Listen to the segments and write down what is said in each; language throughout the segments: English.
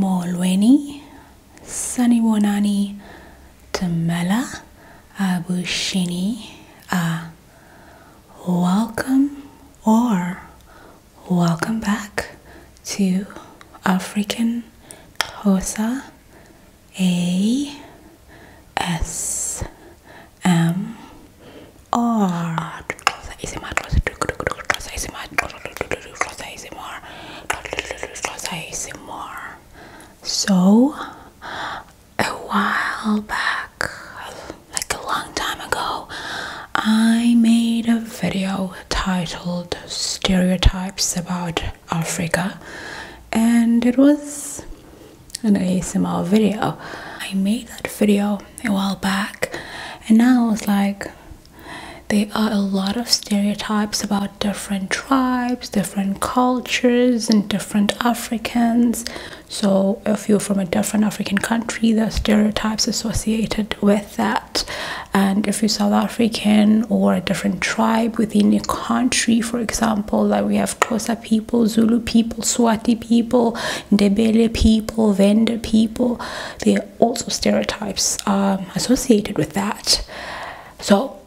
Molweni, Saniwanani, Tamela, Abushini, A. Uh, welcome or welcome back to African Hosa A S um, or So, a while back, like a long time ago, I made a video titled Stereotypes About Africa, and it was an ASMR video. I made that video a while back, and now it's like there are a lot of stereotypes about different tribes, different cultures, and different Africans. So, if you're from a different African country, there are stereotypes associated with that. And if you're South African or a different tribe within your country, for example, like we have Xhosa people, Zulu people, Swati Punjabi people, Ndebele people, vendor people. There are also stereotypes um, associated with that. So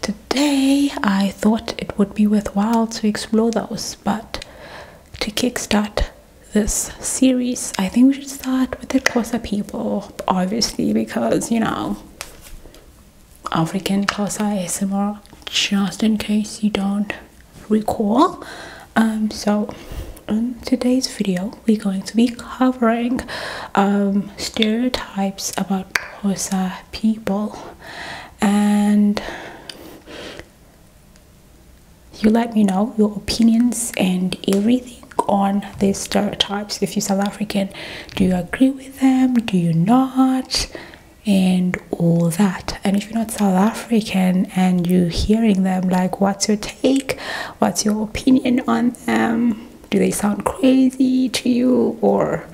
today I thought it would be worthwhile to explore those, but to kickstart this series, I think we should start with the Kosa people, obviously, because you know, African Kosa is more. just in case you don't recall um, so in today's video we're going to be covering um, stereotypes about Hosa people and you let me know your opinions and everything on these stereotypes if you're South African do you agree with them do you not and all that. And if you're not South African and you're hearing them, like, what's your take? What's your opinion on them? Do they sound crazy to you? Or,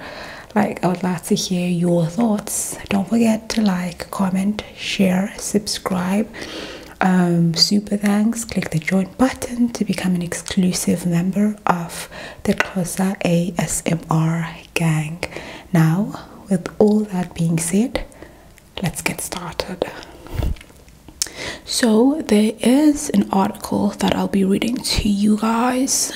like, I would like to hear your thoughts. Don't forget to like, comment, share, subscribe. Um, super thanks. Click the join button to become an exclusive member of the Xhosa ASMR gang. Now, with all that being said, let's get started. So, there is an article that I'll be reading to you guys.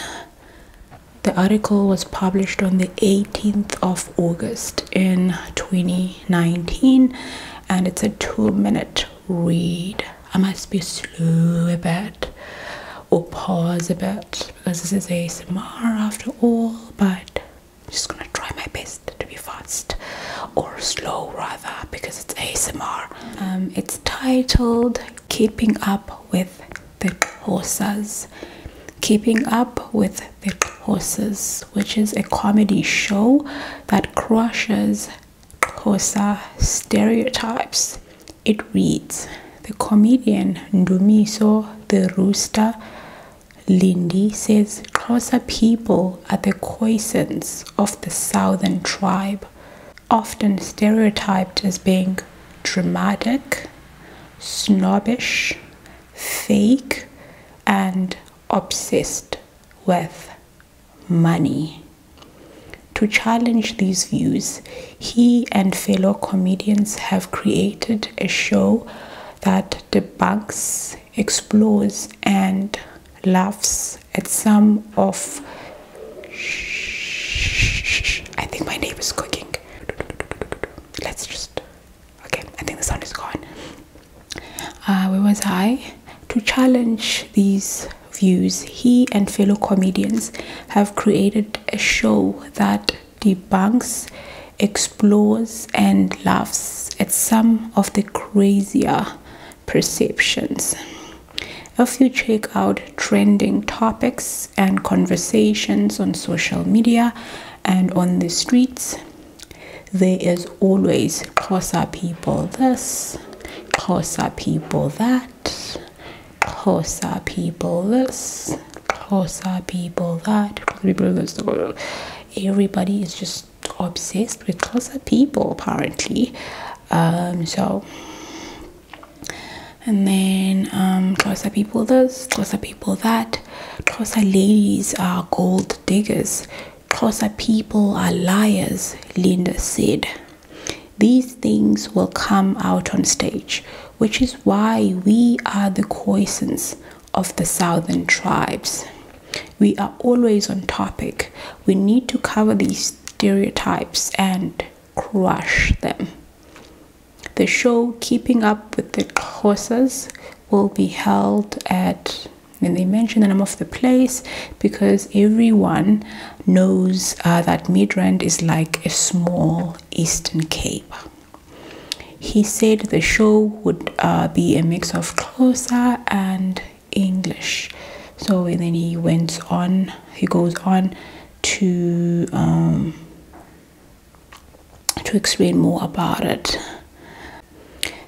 The article was published on the 18th of August in 2019 and it's a two minute read. I must be slow a bit or pause a bit because this is a ASMR after all, but just gonna try my best to be fast or slow rather because it's ASMR. Um, it's titled Keeping Up with the Horses. Keeping Up with the Horses, which is a comedy show that crushes horse stereotypes. It reads The comedian Ndumiso the Rooster Lindy says Xhosa people are the Khoisans of the southern tribe, often stereotyped as being dramatic, snobbish, fake, and obsessed with money. To challenge these views, he and fellow comedians have created a show that bugs explores, and laughs at some of. I think my neighbor's cooking. Let's just. Okay, I think the sound is gone. Uh, where was I? To challenge these views, he and fellow comedians have created a show that debunks, explores, and laughs at some of the crazier perceptions. If you check out trending topics and conversations on social media and on the streets, there is always Xhosa people this, Xhosa people that, Xhosa people this, Xhosa people that, everybody is just obsessed with Xhosa people apparently. Um, so and then um Xhosa people this, Xhosa people that, Xhosa ladies are gold diggers, Xhosa people are liars, Linda said. These things will come out on stage, which is why we are the Khoisans of the southern tribes. We are always on topic. We need to cover these stereotypes and crush them. The show Keeping Up with the Horses will be held at and they mention the name of the place because everyone knows uh, that Midrand is like a small Eastern Cape. He said the show would uh, be a mix of Xhosa and English. So then he went on. He goes on to um, to explain more about it.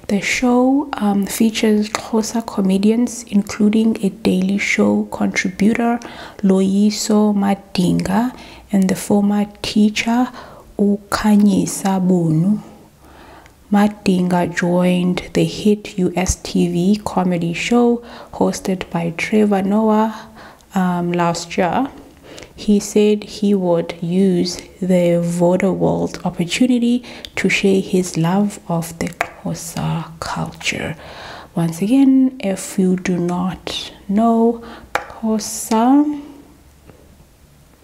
The show um, features Xhosa comedians, including a Daily Show contributor, Loiso Madinga, and the former teacher ukhanyisa bunu Madinga joined the hit US TV comedy show hosted by Trevor Noah um, last year. He said he would use the Voda World opportunity to share his love of the Xhosa culture. Once again, if you do not know Xhosa,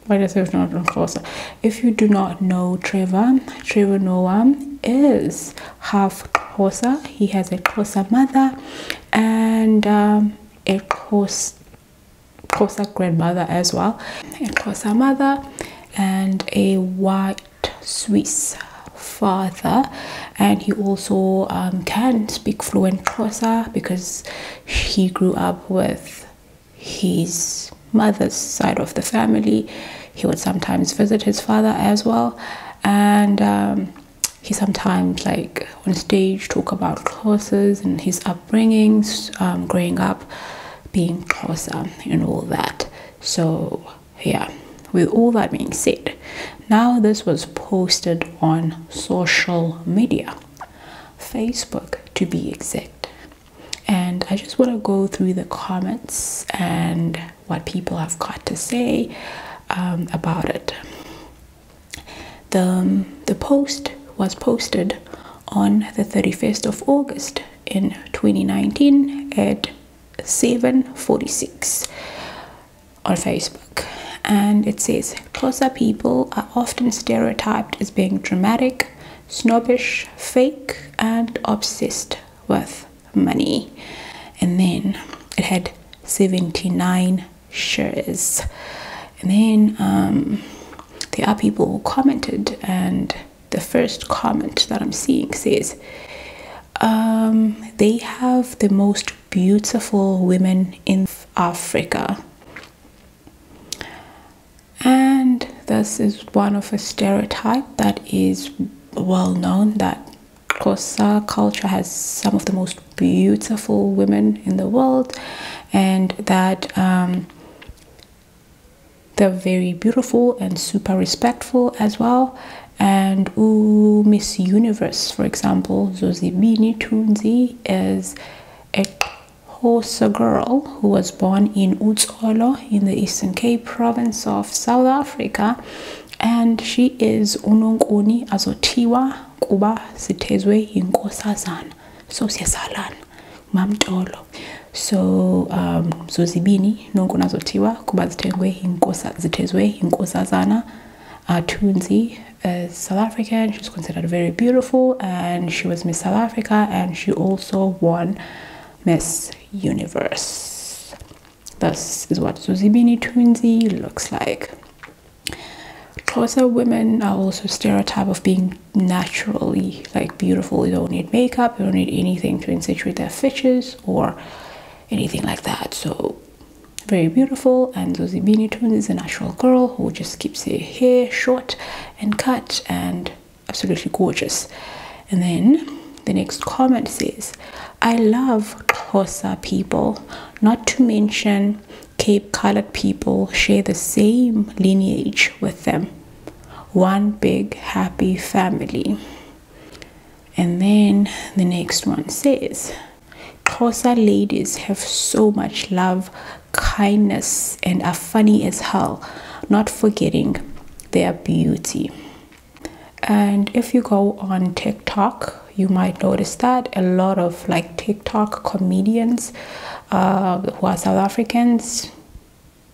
why does it not closer? If you do not know Trevor, Trevor Noah is half Xhosa. He has a Xhosa mother and um, a Xhosa grandmother as well. A Xhosa mother and a white Swiss father and he also um, can speak fluent Xhosa because he grew up with his mother's side of the family. He would sometimes visit his father as well, and um, he sometimes, like on stage, talk about courses and his upbringings, um, growing up, being closer, and all that. So, yeah. With all that being said, now this was posted on social media. Facebook to be exact. And I just want to go through the comments and what people have got to say um, about it. The, um, the post was posted on the 31st of August in 2019 at 7:46 on Facebook and it says Closer people are often stereotyped as being dramatic, snobbish, fake, and obsessed with money. And then it had 79 shares. And then um, there are people who commented, and the first comment that I'm seeing says, um, They have the most beautiful women in Africa and this is one of a stereotype that is well known that Xhosa culture has some of the most beautiful women in the world, and that um, they're very beautiful and super respectful as well. And ooh, Miss Universe, for example, Bini Tunzi is a Hosa girl who was born in Utsolo in the Eastern Cape province of South Africa and she is unonkuni azothiwa kuba sithezwe yinkosazana so siyasalana mamtolo so um zozibini nonkuni azothiwa kuba zithengwe inkosa zithezwe yinkosazana athunzi uh, uh, South African. She's considered very beautiful, and she was Miss South Africa, and she also won Miss Universe. This is what Zuzibini Tunzi looks like. Xhosa women are also stereotype of being naturally like beautiful. You don't need makeup. you don't need anything to accentuate their features or anything like that. So very beautiful. And Zozibini Tunes is a natural girl who just keeps her hair short and cut and absolutely gorgeous. And then the next comment says, I love Kosa people, not to mention Cape colored people share the same lineage with them. One big happy family. And then the next one says, "Kosa ladies have so much love kindness and are funny as hell, not forgetting their beauty. And if you go on TikTok, you might notice that a lot of like TikTok comedians uh, who are South Africans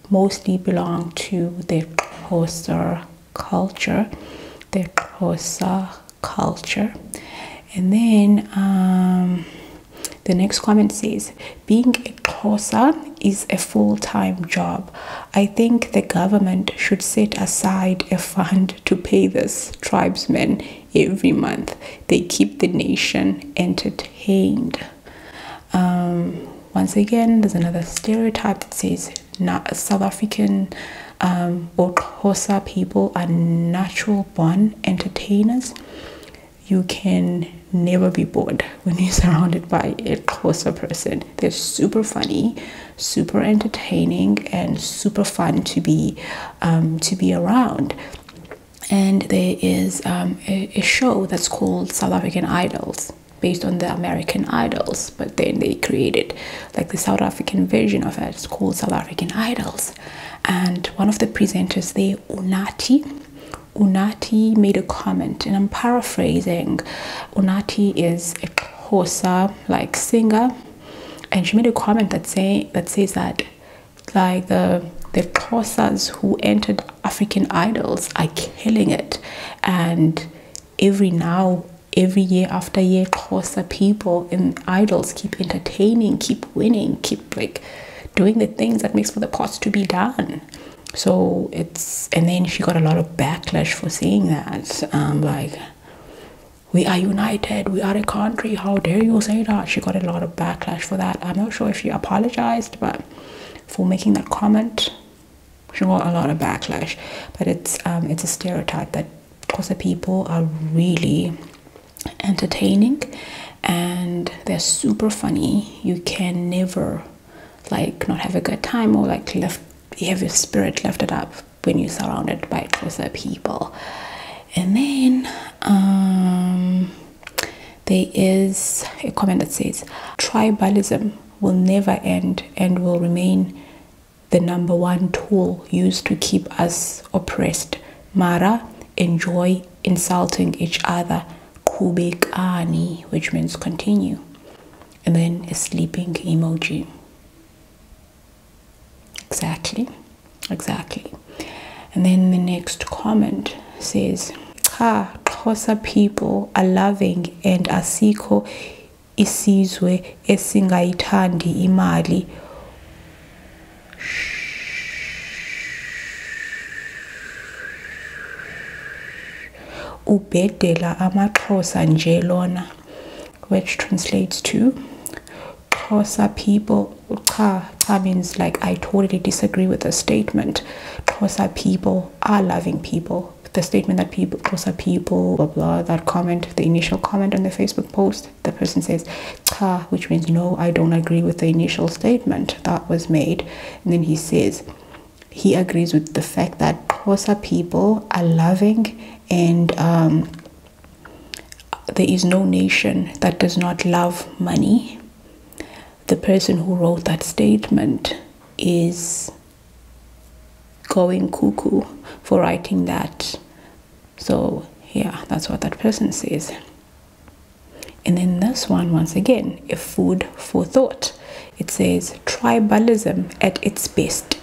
mostly belong to the Xhosa culture, the Xhosa culture. And then um, the next comment says, being a kosa is a full time job. I think the government should set aside a fund to pay this tribesmen every month. They keep the nation entertained. Um, once again, there's another stereotype that says South African um, or kosa people are natural born entertainers you can never be bored when you're surrounded by a closer person. They're super funny, super entertaining, and super fun to be um, to be around. And there is um, a, show that's called South African Idols based on the American Idols, but then they created like the South African version of it. called South African Idols and one of the presenters there, Unati. Unati made a comment, and I'm paraphrasing. Unati is a Xhosa like singer, and she made a comment that say that says that like the the Xhosas who entered African Idols are killing it, and every now every year after year Xhosa people in idols keep entertaining, keep winning, keep like doing the things that makes for the pots to be done so it's and then she got a lot of backlash for saying that um, like we are united we are a country how dare you say that she got a lot of backlash for that i'm not sure if she apologized but for making that comment she got a lot of backlash but it's um, it's a stereotype that Xhosa people are really entertaining and they're super funny you can never like not have a good time or like left you have your spirit lifted up when you're surrounded by closer people and then um, there is a comment that says tribalism will never end and will remain the number one tool used to keep us oppressed mara enjoy insulting each other, kubekani, which means continue, and then a sleeping emoji. Exactly, exactly. And then the next comment says, Ha, Xhosa people are loving and asiko isizwe esingayithandi imali ubhedela amaxhosa nje lona which translates to xhosa people cha cha means like i totally disagree with the statement xhosa people are loving people the statement that people xhosa people blah blah that comment the initial comment on the facebook post the person says ka, which means no, I don't agree with the initial statement that was made. And then he says he agrees with the fact that Kosa people are loving and um, there is no nation that does not love money. The person who wrote that statement is going cuckoo for writing that. So, yeah, that's what that person says. And then this one, once again, a food for thought. It says tribalism at its best.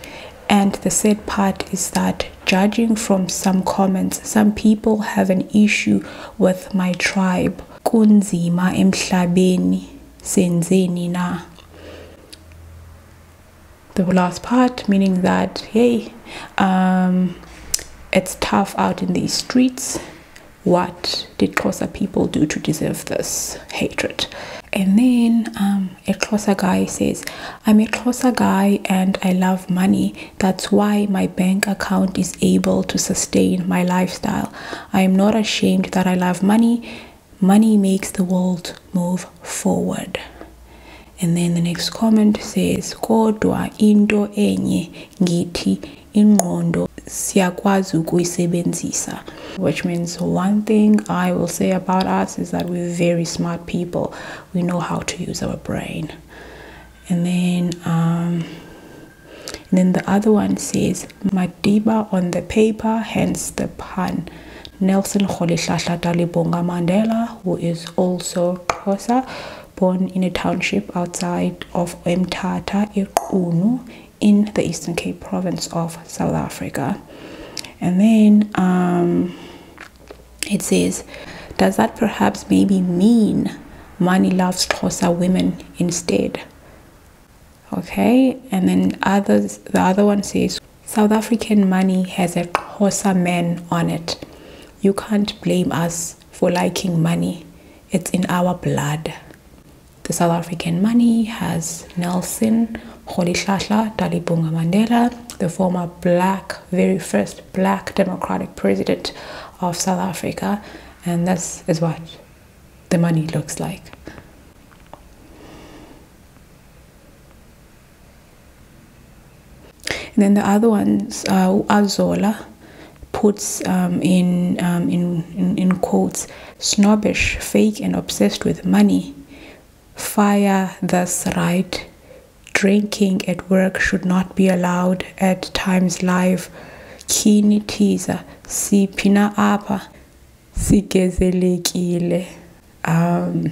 And the sad part is that, judging from some comments, some people have an issue with my tribe. Kunzima emhlabeni senzeni na. The last part meaning that, hey, um, it's tough out in these streets. What did Xhosa people do to deserve this hatred? And then um, a Xhosa guy says, I'm a Xhosa guy and I love money. That's why my bank account is able to sustain my lifestyle. I am not ashamed that I love money. Money makes the world move forward. And then the next comment says, Kodwa indo enye ngiti in ingqondo siakwa ukuyisebenzisa which means one thing i will say about us is that we're very smart people we know how to use our brain and then um, then the other one says madiba on the paper hence the pun nelson Kholihlahla Talibonga mandela who is also xhosa born in a township outside of Mtata Irkunu in the Eastern Cape province of South Africa. And then um, it says, Does that perhaps maybe mean money loves Xhosa women instead? Okay, and then others, the other one says, South African money has a Xhosa man on it. You can't blame us for liking money. It's in our blood. The South African money has Nelson, Rolihlahla, Dalibunga Mandela, the former black, very first black democratic president of South Africa, and this is what the money looks like. And then the other ones are Zola puts um, um, in, in, in, quotes snobbish, fake, and obsessed with money. Fire thus right. Drinking at work should not be allowed at times live. Kini teaser, si pina apa, si gezelekile. Um,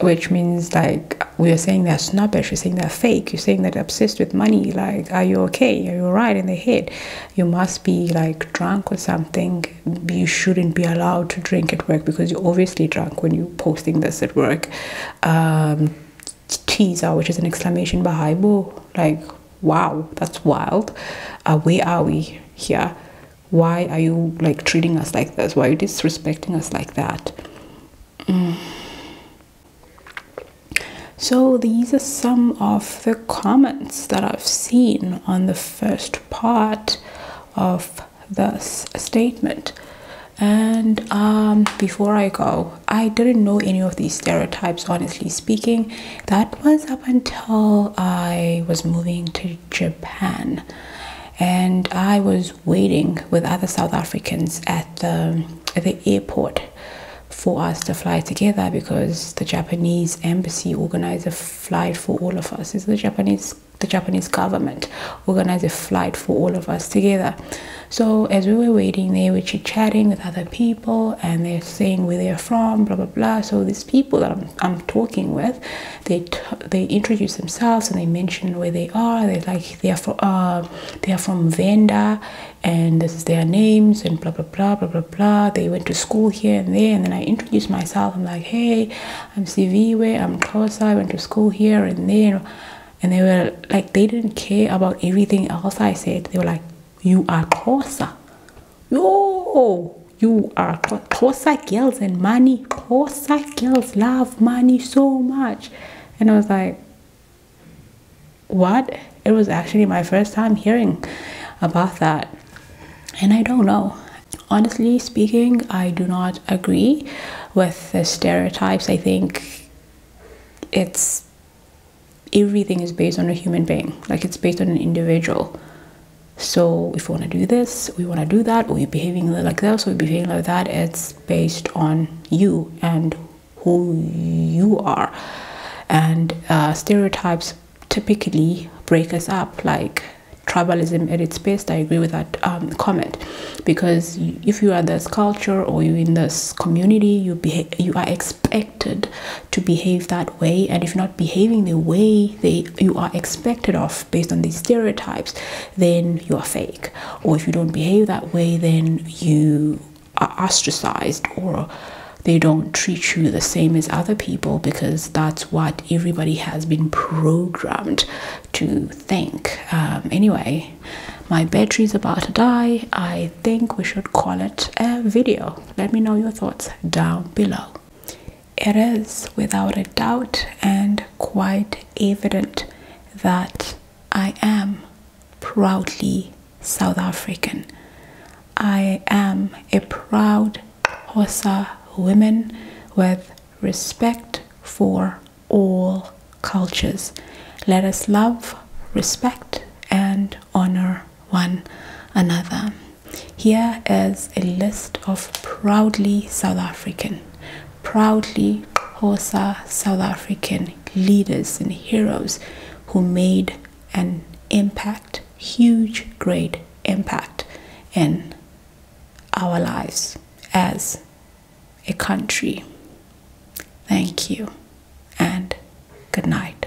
which means like we are saying they're snobbish, you're saying they're fake, you're saying they're obsessed with money. Like, are you okay? Are you alright in the head? You must be like drunk or something. You shouldn't be allowed to drink at work because you're obviously drunk when you're posting this at work. Um, teaser, which is an exclamation by Haibo. Like, wow, that's wild. Uh, where are we here? Why are you like treating us like this? Why are you disrespecting us like that? Mm. So, these are some of the comments that I've seen on the first part of this statement. And um, before I go, I didn't know any of these stereotypes, honestly speaking. That was up until I was moving to Japan. And I was waiting with other South Africans at the, at the airport for us to fly together because the Japanese embassy organized a flight for all of us. It's the Japanese the Japanese government organized a flight for all of us together. So as we were waiting, they were chit chatting with other people and they're saying where they're from, blah blah blah. So these people that I'm, talking with, they they introduce themselves and they mention where they are. They're like they are from uh, they are from Venda, and this is their names and blah blah blah blah blah blah they went to school here and there and then i introduced myself i'm like hey i'm cv i'm Kosa, i went to school here and there and they were like they didn't care about everything else i said they were like you are Kosa. yo you are Kosa girls and money Kosa girls love money so much and i was like what? It was actually my first time hearing about that. And I don't know. Honestly speaking, I do not agree with the stereotypes. I think it's everything is based on a human being, like it's based on an individual. So if we want to do this, we want to do that, we are behaving like this, or we are behaving like that, it's based on you and who you are and uh, stereotypes typically break us up like tribalism at its best i agree with that um, comment because if you are this culture or you're in this community you behave, you are expected to behave that way and if not behaving the way they you are expected of based on these stereotypes then you are fake or if you don't behave that way then you are ostracized or they don't treat you the same as other people because that's what everybody has been programmed to think. Um, anyway, my battery's about to die. I think we should call it a video. Let me know your thoughts down below. It is without a doubt and quite evident that I am proudly South African. I am a proud Hosa woman with respect for all cultures. Let us love, respect, and honor one another. Here is a list of proudly South African, proudly Hosa South African leaders and heroes who made an impact, huge, great impact in our lives as a country. Thank you and good night.